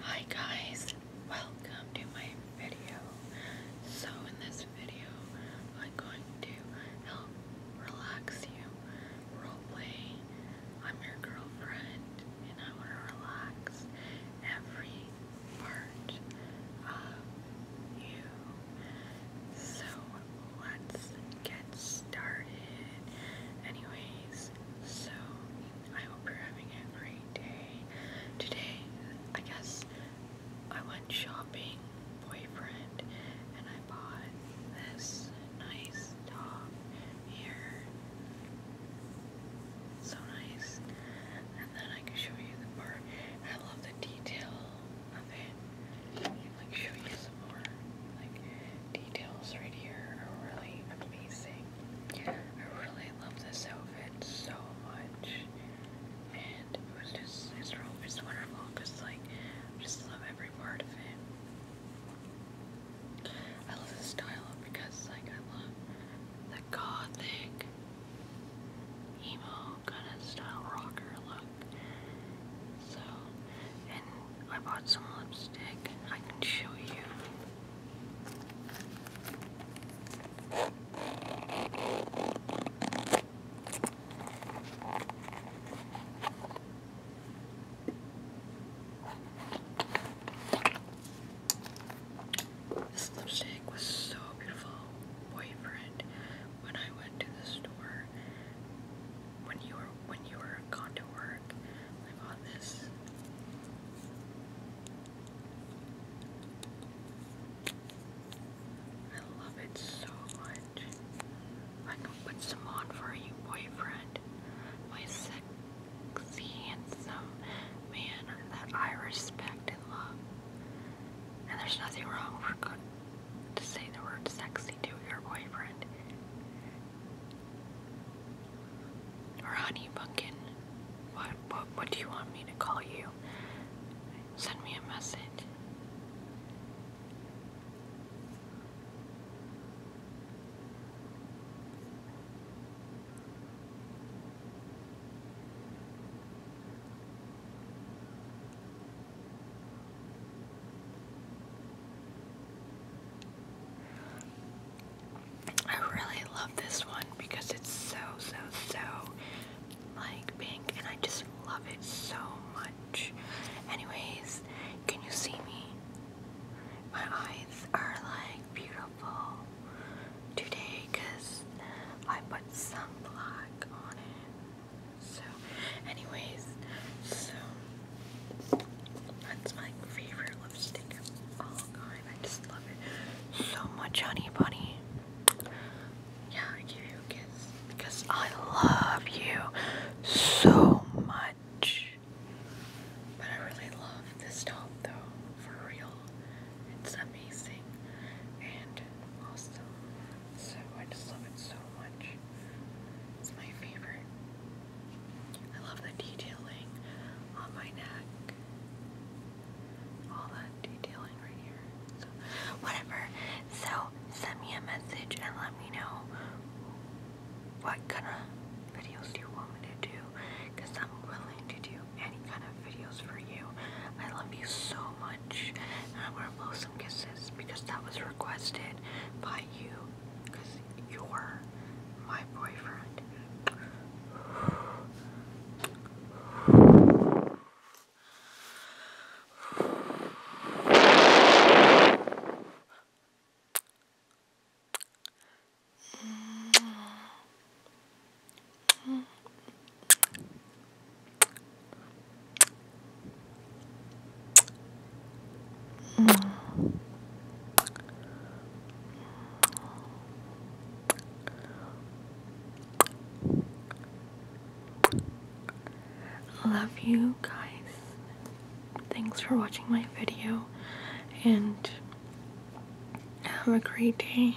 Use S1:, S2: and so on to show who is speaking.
S1: Hi guys, welcome to my video. So in this video, I'm going to help relax you. Roleplay. I'm your girlfriend and I want to relax every part of you. So let's get started. Anyways, so I hope you're having a great day. Today, I guess I went shopping, boyfriend, and I bought this nice top here. So nice. And then I can show you the part. I love the detail of it. like show you some more. Like details right here are really amazing. I really love this outfit so much. And it was just, it's, it's wonderful because, like, I just love every part of it. I love the style because, like, I love the gothic, emo kind of style rocker look. So, and I bought some lipstick. I can show you. This lipstick was so beautiful. Boyfriend, when I went to the store, when you were when you were gone to work, I bought this. I love it so much. I can put some on for you, boyfriend. My sexy, handsome man that I respect and love. And there's nothing wrong for to say the word sexy to your boyfriend. Or honey pumpkin. What, what, what do you want me to call you? Send me a message. I really love this one because it's so, so, so like pink and I just love it so much. Anyways, can you see me? My eyes are like beautiful today because I put some black on it. So, anyways, so that's my favorite lipstick of all I just love it so much, honey bunny. Yeah, I give you a kiss because I love you so much. But I really love this top though, for real. It's amazing and awesome. So I just love it so so much. It's my favorite. I love the detailing on my neck. All that detailing right here. whatever. So, send me a message and let me know what kind of videos you want me to do. Because I'm willing to do any kind of videos for you. I love you so much. I'm going to kisses because that was requested by you because you're my boyfriend. Love you guys. Thanks for watching my video and have a great day.